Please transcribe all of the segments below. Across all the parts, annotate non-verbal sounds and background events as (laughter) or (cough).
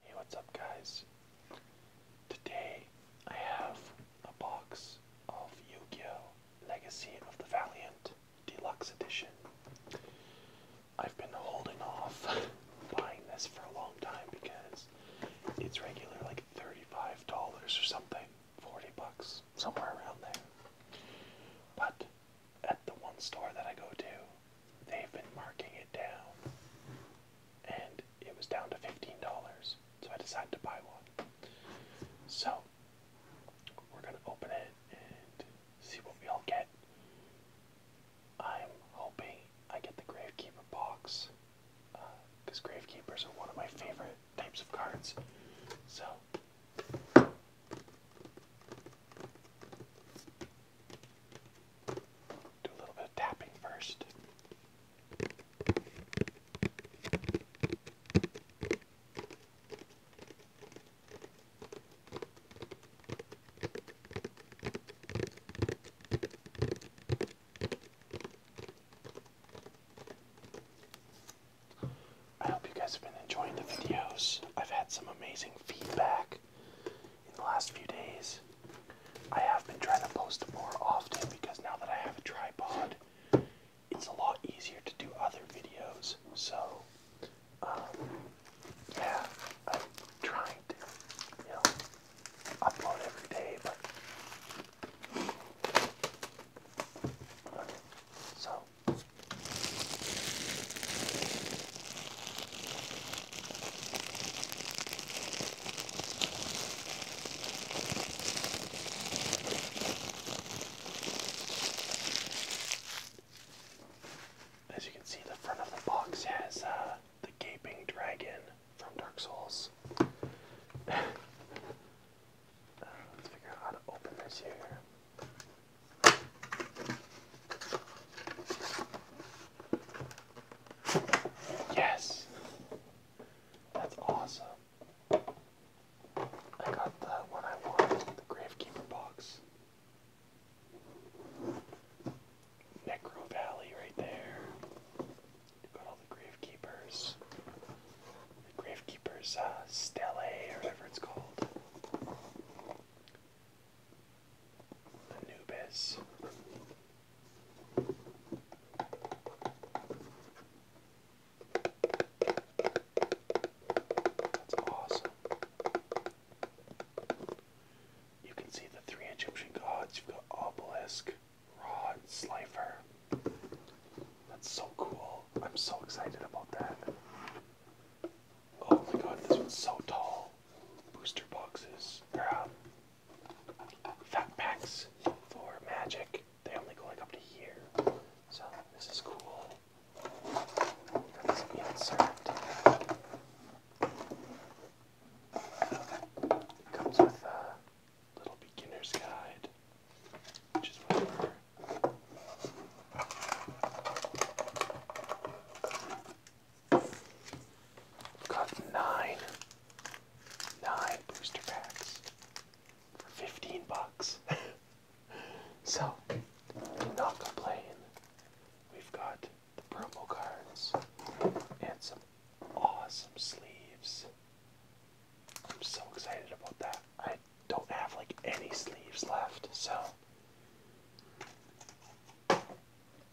Hey, what's up, guys? Today I have a box of Yu Gi Oh! Legacy of the Valiant Deluxe Edition. I've been holding off (laughs) buying this for a long time because it's regular like $35 or something, 40 bucks, somewhere around there. But at the one store that I go to, they've been marking it down, and it was down to $15, so I decided to buy one. So, we're gonna open it and see what we all get. I'm hoping I get the Gravekeeper box, because uh, Gravekeepers are one of my favorite types of cards. So, do a little bit of tapping first. I hope you guys have been enjoying the videos. I've had some amazing feedback in the last few days. I have been trying to post more often because now that I have a tripod, it's a lot easier to do other videos. So, um, yeah, I'm trying to, you know, upload every day, but. so. As you can see, the front of the box has uh, the gaping dragon from Dark Souls. (laughs) uh, let's figure out how to open this here. Yes! That's awesome. I got the one I wanted, the Gravekeeper box. Necro Valley right there. Got all the Gravekeepers. Gravekeepers uh, or whatever it's called. Anubis. That's awesome. You can see the three Egyptian gods. You've got Obelisk, Rod, Slifer. That's so cool. I'm so excited about that. Oh my god, this one's so tall. Booster boxes. They're out. Um, fat packs for magic. They only go like up to here. So this is cool. comes with a little beginner's guide, which is whatever. Got nine, nine booster packs 15 bucks. (laughs) so, I'm not complaining. We've got the promo cards and some awesome sleeves. I'm so excited about that. I don't have like any sleeves left, so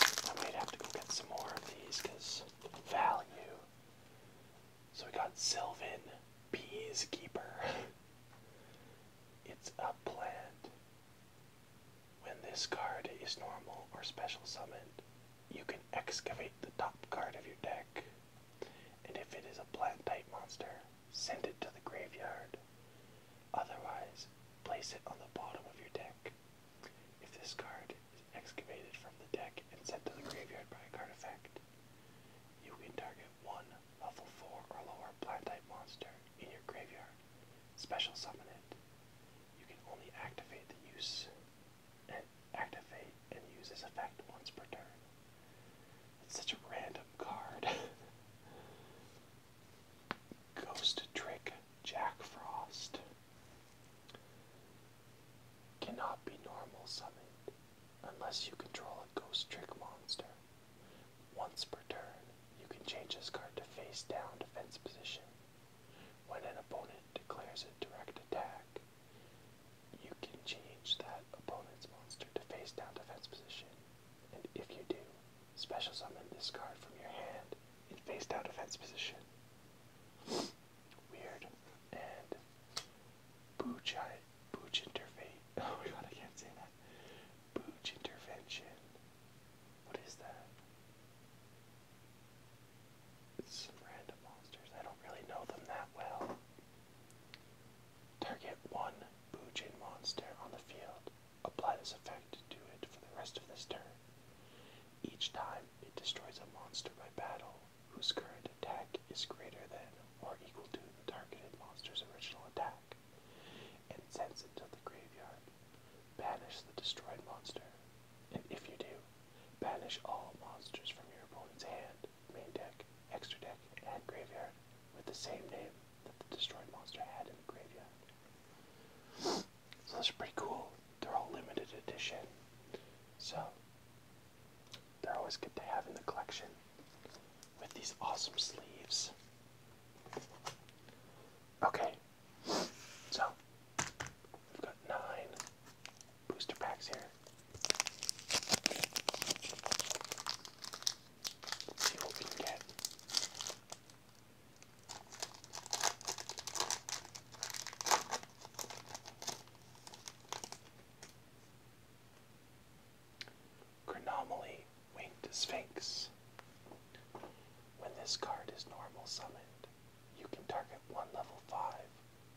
I might have to go get some more of these because value. So we got Sylvan Beeskeeper. it's a plant. When this card is normal or special summoned, you can excavate the top card of your deck. And if it is a plant type monster, send it to the graveyard. Otherwise, place it on the bottom of your deck. If this card is excavated from the deck and sent to the graveyard by a card effect, you can target one level 4 or lower blind type monster in your graveyard. Special summon it. You can only activate the use and activate and use this effect once per turn. It's such a random card. (laughs) Ghost Trick Jack Frost cannot be normal summoned unless you control a Ghost Trick monster. Once per turn, you can change this card to face down defense position. When an opponent declares a direct attack, you can change that opponent's monster to face down defense position. And if you do, special summon this card from your hand it phased out defense position. (laughs) Weird. And Booch Booch interface. (laughs) Oh my god, I can't say that. Booch intervention. What is that? some random monsters. I don't really know them that well. Target one Boojin monster on the field. Apply this effect to it for the rest of this turn. Each time it destroys a monster by battle whose current attack is greater than or equal to the targeted monster's original attack and sends it to the graveyard. Banish the destroyed monster, and if you do, banish all monsters from your opponent's hand, main deck, extra deck, and graveyard with the same name that the destroyed monster had in the graveyard. So that's pretty cool. They're all limited edition. So they're always good to have in the collection with these awesome sleeves. Okay, so we've got nine booster packs here. Let's see what we get. Chronomaly Winged Sphinx. When this card is normal summoned, you can target one level 5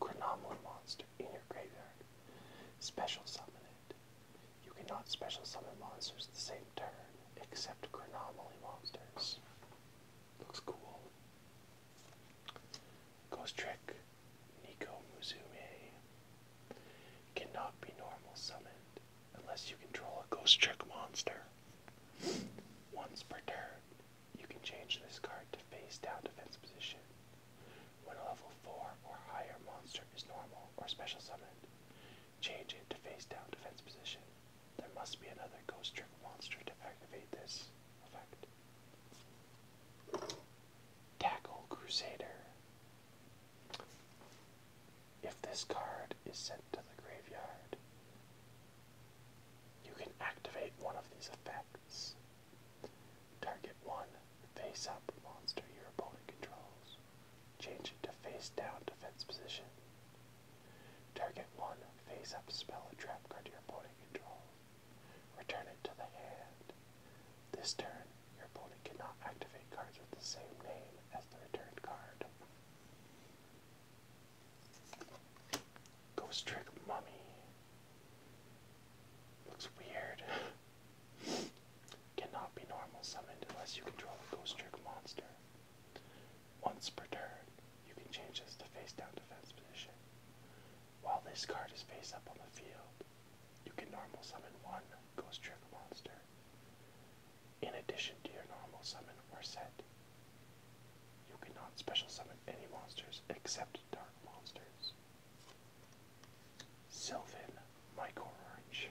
Chronomaly monster in your graveyard. Special summon it. You cannot special summon monsters the same turn except Granomaly monsters. Looks cool. Ghost Trick, Nico Muzume. Cannot be normal Summon unless you control a Ghost Trick monster. Once per turn, you can change this card to face down defense position. When a level 4 or higher monster is normal or special summoned, change it to face down defense position. There must be another ghost trick monster to activate this effect. Tackle Crusader. If this card is sent to the graveyard, you can activate one of these effects. Target one face up monster your opponent controls. Change it to face down defense position. Target one face up spell or trap card to your opponent control. Return it to the hand. This turn, your opponent cannot activate cards with the same name as the returned card. Ghost Trick Mummy. Looks weird. (laughs) Cannot be normal summoned unless you control a Ghost Trick monster. Once per turn, you can change this to face down defense position. While this card is face up on the field, you can normal summon one Ghost Trick monster in addition to your normal summon or set. You cannot special summon any monsters except dark monsters. Sylvan Micro Orange.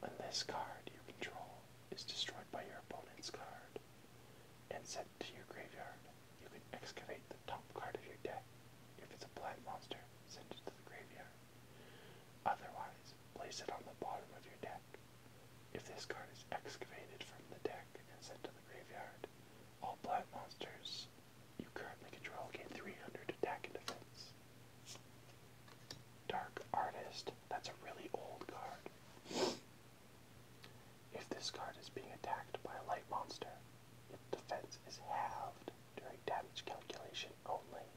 When this card you control is destroyed by your opponent's card and sent to your graveyard, you can excavate the top card of your deck. If it's a black monster, send it to the graveyard. Otherwise, place it on the bottom of your deck. If this card is excavated from the deck and sent to the graveyard, all black monsters you currently control gain 300 attack and defense. Dark Artist. That's a really old card. If this card is being attacked by a light monster, its defense is halved during damage calculation only.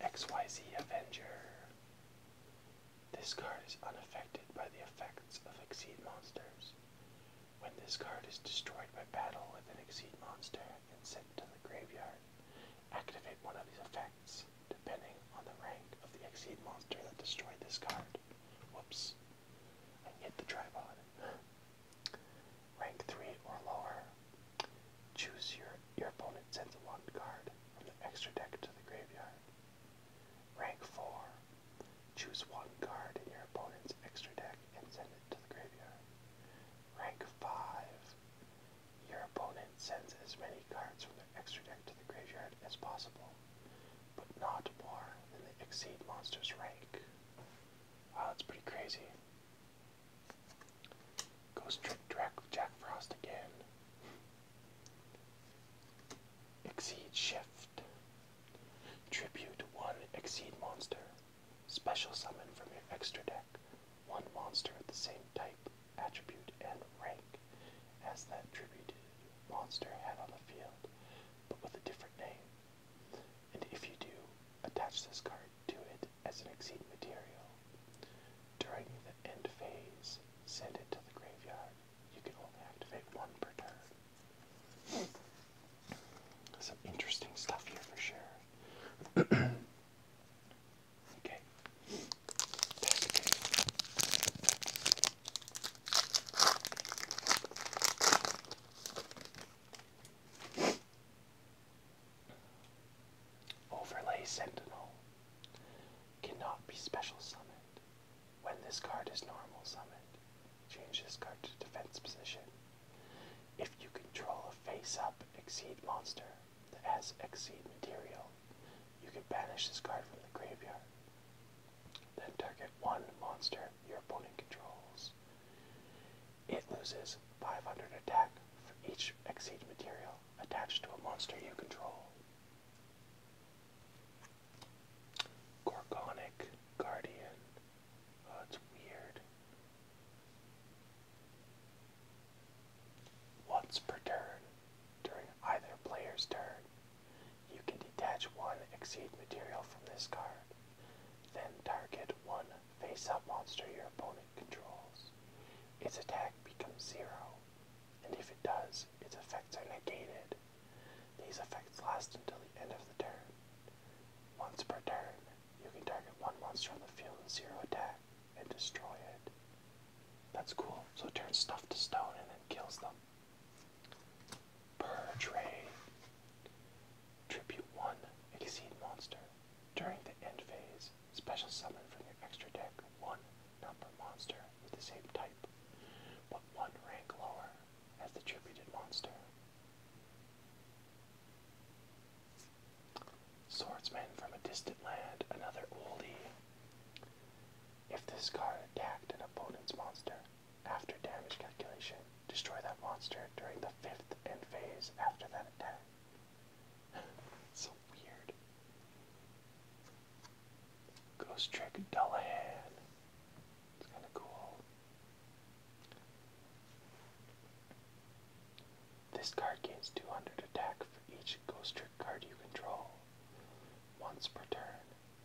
XYZ Avenger. This card is unaffected by the effects of Exceed monsters. When this card is destroyed by battle with an Exceed monster, and sent to the graveyard. Activate one of these effects, depending on the rank of the Exceed monster that destroyed this card. Whoops. I hit the tripod. Rank 3 or lower. Choose your, your opponent sends one card from the extra deck to the graveyard. Rank 4. Choose one card in your opponent's extra deck and send it to the graveyard. Rank 5. Your opponent sends as many cards from their extra deck to the graveyard as possible, but not more than the exceed monster's rank. Wow, that's pretty crazy. Goes Trick Jack Frost again. Exceed Shift. Tribute 1 Exceed Monster. Special summon from your extra deck one monster of the same type, attribute, and rank as that attributed monster had on the field, but with a different name. And if you do, attach this card to it as an exceed material. During the end phase, send it to the graveyard. You can only activate one per turn. Some interesting stuff here for sure. (clears throat) okay. Overlay Sentinel cannot be special summoned when this card is normal summoned. Change this card to defense position. If you control a face-up exceed monster that has exceed material, you can banish this card from the graveyard. Then target one monster your opponent controls. It loses 500 attack for each exceed material attached to a monster you control. Gorgonic Guardian Oh, Once per turn, during either player's turn, you can detach one Exceed material from this card, then target one face-up monster your opponent controls. Its attack becomes zero, and if it does, its effects are negated. These effects last until the end of the turn. Once per turn, you can target one monster on the field with zero attack and destroy it. That's cool. So it turns stuff to stone and then kills them. Purge Tribute 1 Exceed Monster. During the end phase, special summon from your extra deck one number monster with the same type, but one rank lower as the tributed monster. Swordsman from a distant land, another oldie. If this card attacked an opponent's monster after damage calculation, destroy that monster during the fifth end phase after that attack. (laughs) so weird. Ghost Trick Dullahan. It's kind of cool. This card gains 200 attack for each ghost trick card you control. Once per turn,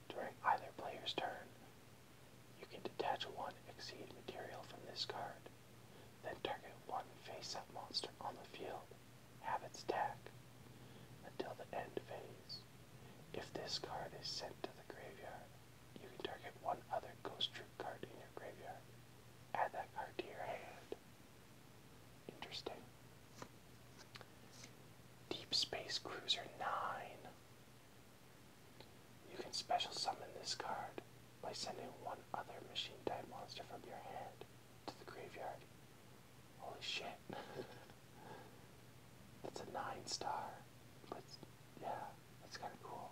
during either player's turn, you can detach one exceed material from this card, then target one face up monster on the field, have its attack, until the end phase. If this card is sent to the graveyard, you can target one other ghost troop card in your graveyard. Add that card to your hand. Interesting. Deep Space Cruiser 9. You can special summon this card by sending one other machine type monster from your hand to the graveyard. Holy shit. (laughs) That's a 9 star. But yeah, that's kind of cool.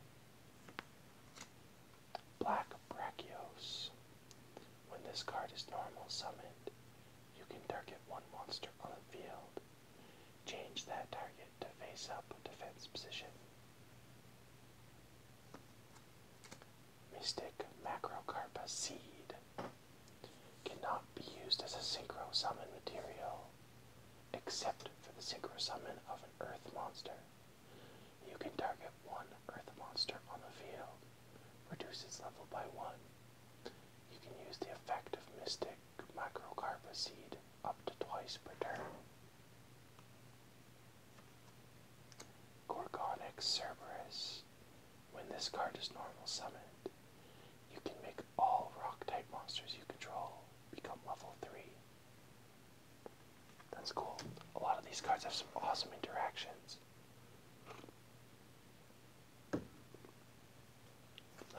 Black Brachios. When this card is normal summoned, you can target one monster on the field. Change that target to face up defense position. Mystic Macrocarpa Seed. Cannot be used as a synchro summon material except for the Synchro Summon of an Earth monster. You can target one Earth monster on the field, reduce its level by one. You can use the effect of Mystic Microcarpa Seed up to twice per turn. Gorgonic Cerberus. When this card is normal summoned, you can make all rock type monsters you control become level 3 that's cool. A lot of these cards have some awesome interactions.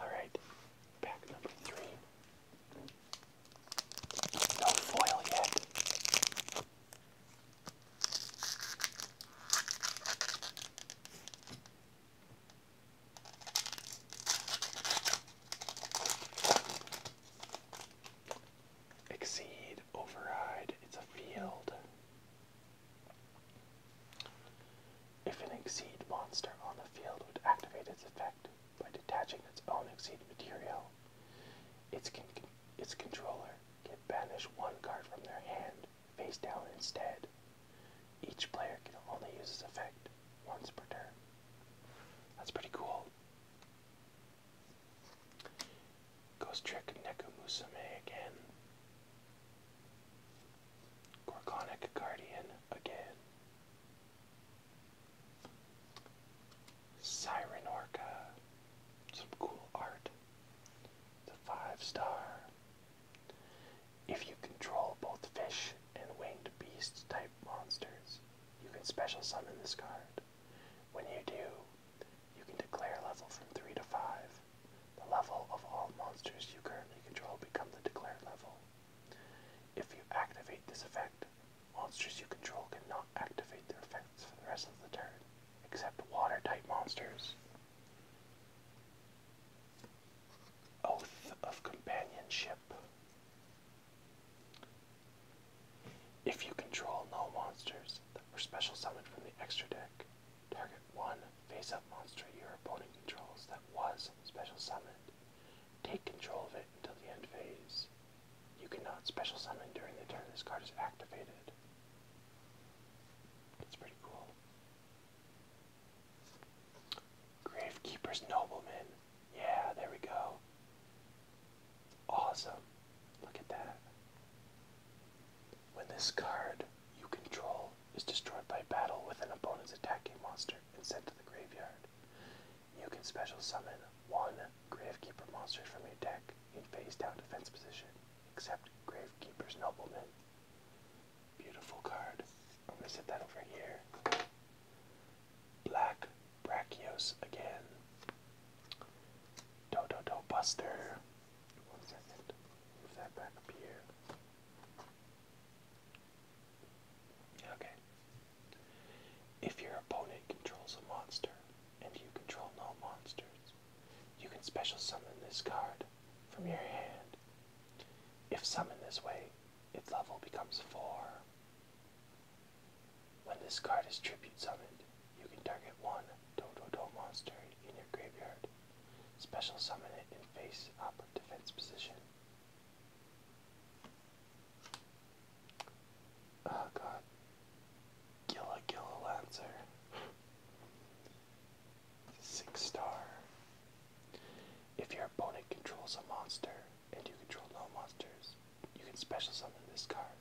Alright, pack number three. No foil yet. Exceed, override, it's a field. If an exceed monster on the field would activate its effect by detaching its own exceed material, its, its controller can banish one card from their hand face down instead. Each player can only use this effect once per turn. That's pretty cool. Ghost Trick Nekumusame again. Gorgonic Guardian again. Siren Some cool art. The five star. If you control both fish and winged beast type monsters, you can special summon this card. When you do, you can declare level from 3 to 5. The level of all monsters you currently control become the declared level. If you activate this effect, monsters you control cannot activate their effects for the rest of the turn, except water type monsters. Oath of Companionship. If you control no monsters that were special summoned from the extra deck, target one face up monster your opponent controls that was special summoned. Take control of it until the end phase. You cannot special summon during the turn this card is activated. That's pretty cool. Gravekeeper's Nobleman. Yeah, there we go. Awesome. Look at that. When this card you control is destroyed by battle with an opponent's attacking monster and sent to the graveyard, you can special summon one Gravekeeper monster from your deck in face down defense position, except Gravekeeper's Nobleman. Beautiful card. I'm set that over here. Black Brachios again. Do do do buster. One second. Move that back up here. Okay. If your opponent controls a monster and you control no monsters, you can special summon this card from your hand. If summoned this way, its level becomes 4. When this card is Tribute Summoned, you can target one Toto Toto monster in your graveyard, special summon it in face up defense position. Oh god. Gilla Gilla Lancer. Six star. If your opponent controls a monster, and you control all monsters, you can special summon this card.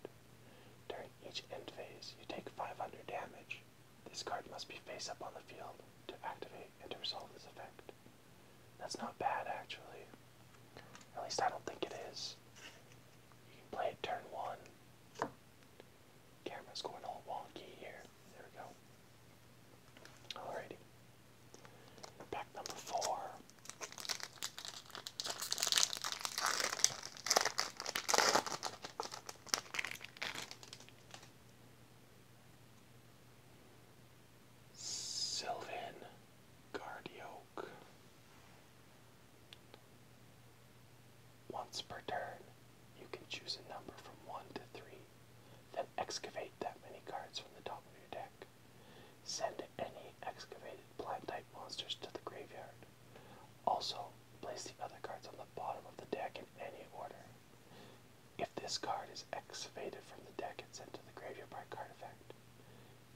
During each end phase, you take 500 damage. This card must be face up on the field to activate and to resolve this effect. That's not bad, actually. At least I don't think it is. You can play it turn one. Camera's going all wonky here. There we go. Alrighty. Pack number four. Sylvan Guardioke. Once per turn, you can choose a number from 1 to 3, then excavate that many cards from the top of your deck. Send any excavated black type monsters to the graveyard. Also, place the other cards on the bottom of the deck in any order. If this card is excavated from the deck, and sent to the graveyard by card effect.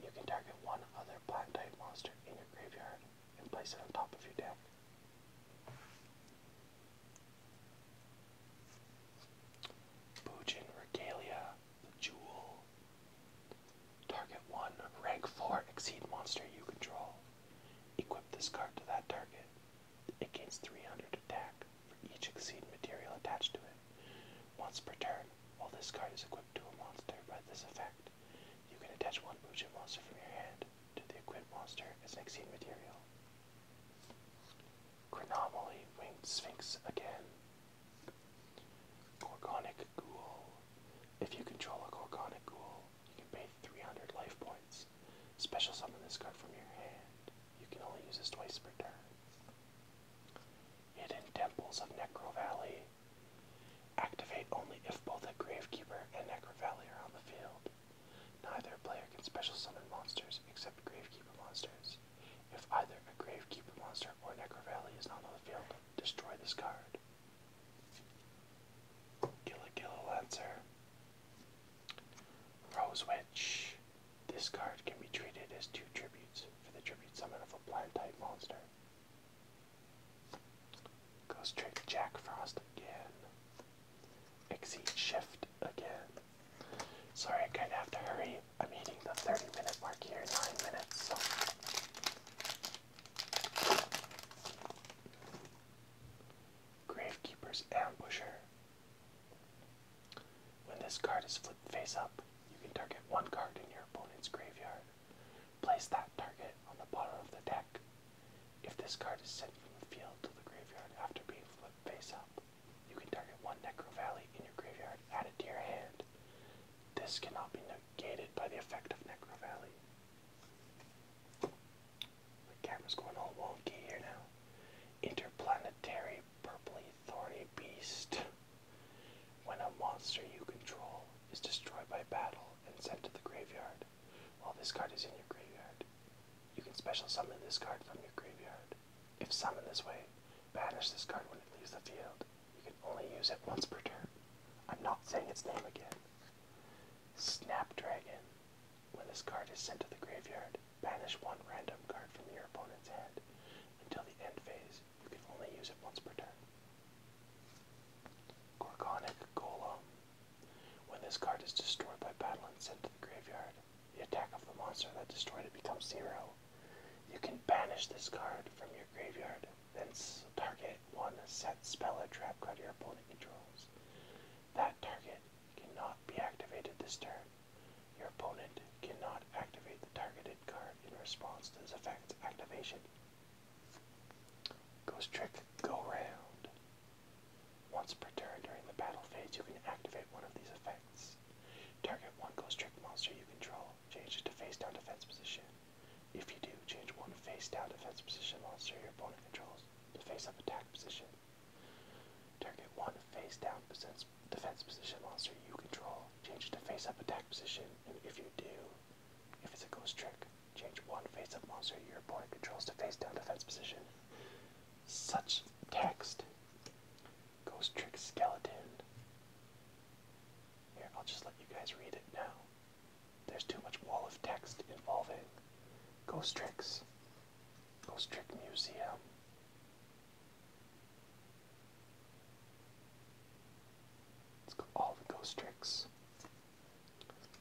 You can target one other black type monster in your graveyard and place it on top of your deck. Bujin Regalia, the Jewel. Target 1, rank 4, exceed monster you control. Equip this card to that target. It gains 300 attack for each exceed material attached to it. Once per turn, while this card is equipped to a monster by this effect, you can attach one Bujin monster from your hand to the equipped monster as exceed material. Chronomally winged sphinx again. Gorgonic ghoul. If you control a Gorgonic ghoul, you can pay 300 life points. Special summon this card from your hand. You can only use this twice per turn. Hidden Temples of Necro Valley. Activate only if both a Gravekeeper and Necro Valley are on the field. Neither player can special summon monsters except Gravekeeper monsters. If either a Gravekeeper monster or Necrovalley is on the field, destroy this card. Gilla Lancer. Rose Witch. This card can be treated as two tributes for the tribute summon of a blind type monster. Goes straight Jack Frost again. Exceed Shift again. Sorry, I kind of have to hurry. I'm hitting the 30 minute mark here, 9 minutes. So. Gravekeeper's Ambusher. When this card is flipped face up, you can target one card in your opponent's graveyard. Place that target on the bottom of the deck. If this card is sent from the field to the graveyard after being flipped face up, you can target one Necro Valley in your graveyard add it to your hand. This cannot be negated by the effect of Necro Valley. The camera's going all wonky here now. Interplanetary Purpley Thorny Beast. When a monster you control is destroyed by battle and sent to the graveyard, while this card is in your graveyard, you can special summon this card from your graveyard. If summoned this way, banish this card when it leaves the field. You can only use it once per turn. I'm not saying its name again. Snapdragon. When this card is sent to the graveyard, banish one random card from your opponent's hand. Until the end phase, you can only use it once per turn. Gorgonic Golem. When this card is destroyed by battle and sent to the graveyard, the attack of the monster that destroyed it becomes zero. You can banish this card from your graveyard, then target one set spell or trap card your opponent controls. That target cannot be activated this turn. Your opponent cannot activate the targeted card in response to this effect's activation. Ghost Trick Go Round. Once per turn during the battle phase, you can activate one of these effects. Target one ghost trick monster you control, changes to face down defense position. If you do, change one face down defense position monster your opponent controls to face up attack position. Target one face down defense position monster you control, changes to face up attack position, and if you do, if it's a ghost trick, change one face up monster your opponent controls to face down defense position. Such text. Ghost tricks Skeleton. Here, I'll just let you guys read it now. There's too much wall of text involving ghost tricks, ghost trick museum. Let's go all the ghost tricks.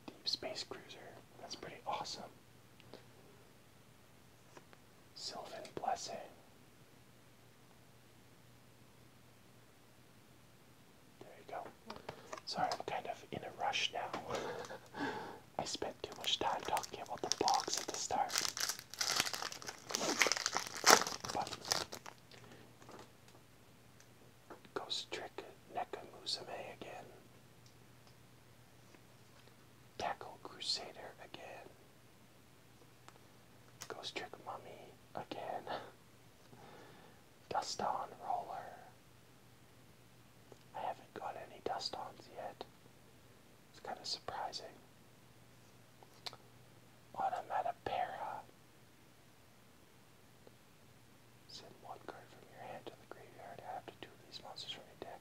Deep space cruiser. That's pretty awesome. Sylvan Blessing. There you go. Sorry, I'm kind of in a rush now. (laughs) I spent too much time talking about the box at the start. Ghost Trick Nekamusume again. Tackle Crusader again. Ghost Trick Mummy again. (laughs) Dust on Roller. I haven't got any dust ons yet. It's kind of surprising. Automatapara. Send one card from your hand to the graveyard. Add up to two of these monsters from your deck.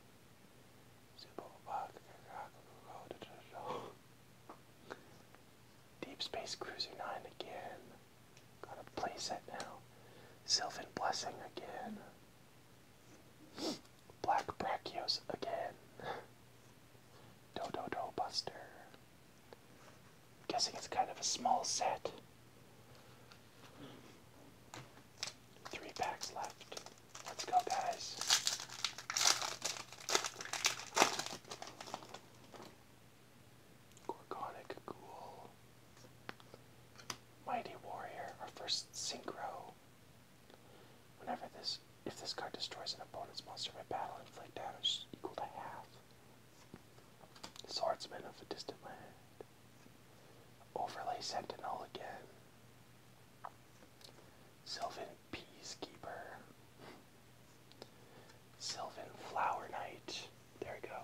Deep Space Cruiser 9 again. Got a playset now. Sylvan Blessing again. Black Brachios again. Dodo Do Buster. guessing it's kind of a small set. Three packs left. Let's go, guys. Gorgonic Ghoul. Mighty Warrior, our first synchro. Whenever this, if this card destroys an opponent's monster by battle, inflict damage equal to half. Swordsman of a distant land. Overlay Sentinel again. Sylvan Peacekeeper, Sylvan Flower Knight. There we go.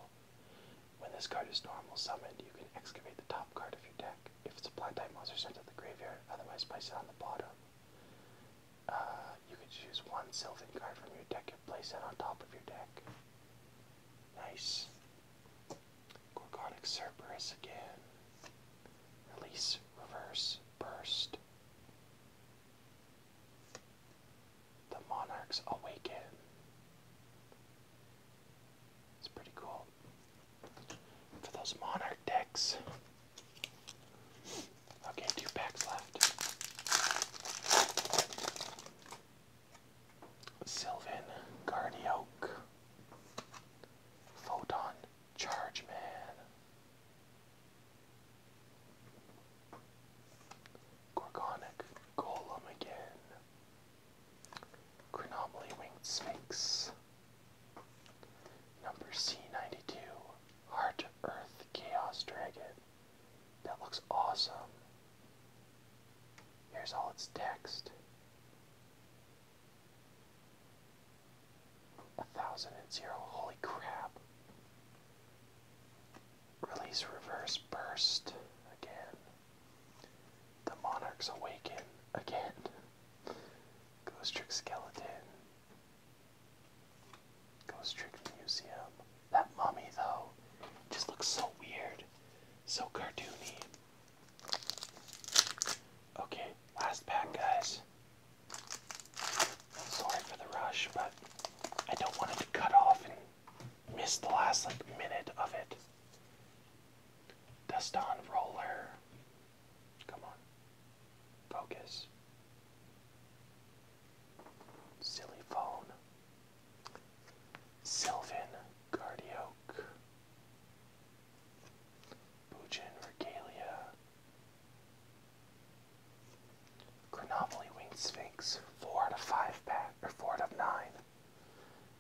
When this card is normal summoned, you can excavate the top card of your deck. If it's a plant type monster, sent to the graveyard, otherwise place it on the bottom. Uh, you can choose one Sylvan card from your deck and place it on top of your deck. Nice. Gorgonic Cerberus again. Release, reverse, burst. The Monarchs Awaken. It's pretty cool. For those Monarch decks. Okay, two packs left. Sylvan Guardioke. Photon Charge Man. Gorgonic Golem again. Chronomaly Winged Sphinx. Number C92, Heart Earth Chaos Dragon. That looks awesome. Here's all its text. A thousand and zero, holy crap. Release reverse burst again. The monarchs awaken again. Ghost Trick Skeleton. Ghost Trick Museum. That mummy though just looks so weird. So cartoony. Okay, last pack, guys. Sorry for the rush, but I don't want it to cut off and miss the last like minute of it. Dust on roller. Come on. Focus. Silly phone. Sylvan Guardioke. Bujin regalia, Chronopoly winged sphinx, four out of five pack or four out of nine.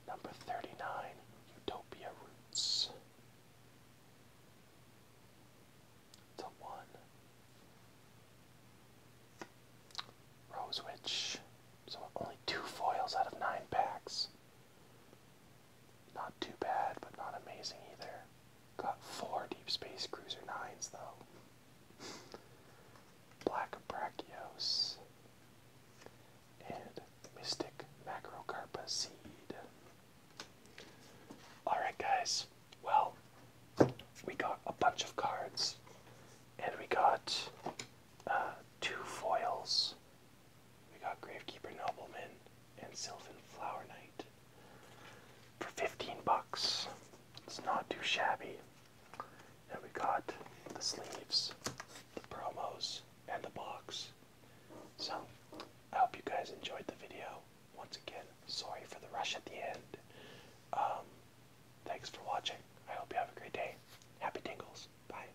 Number thirty-nine, Utopia roots. To one. Rosewitch. So only two foils out of nine packs. Not too bad, but not amazing either. Got four Deep Space Cruiser 9s though. Black Brachios. And Mystic Macrocarpa Seed. Alright guys, well, we got a bunch of cards. And we got uh, two foils we got Gravekeeper Nobleman and Sylvan Flower Knight for 15 bucks. It's not too shabby. And we got the sleeves, the promos, and the box. So, I hope you guys enjoyed the video. Once again, sorry for the rush at the end. Um, thanks for watching. I hope you have a great day. Happy tingles. Bye.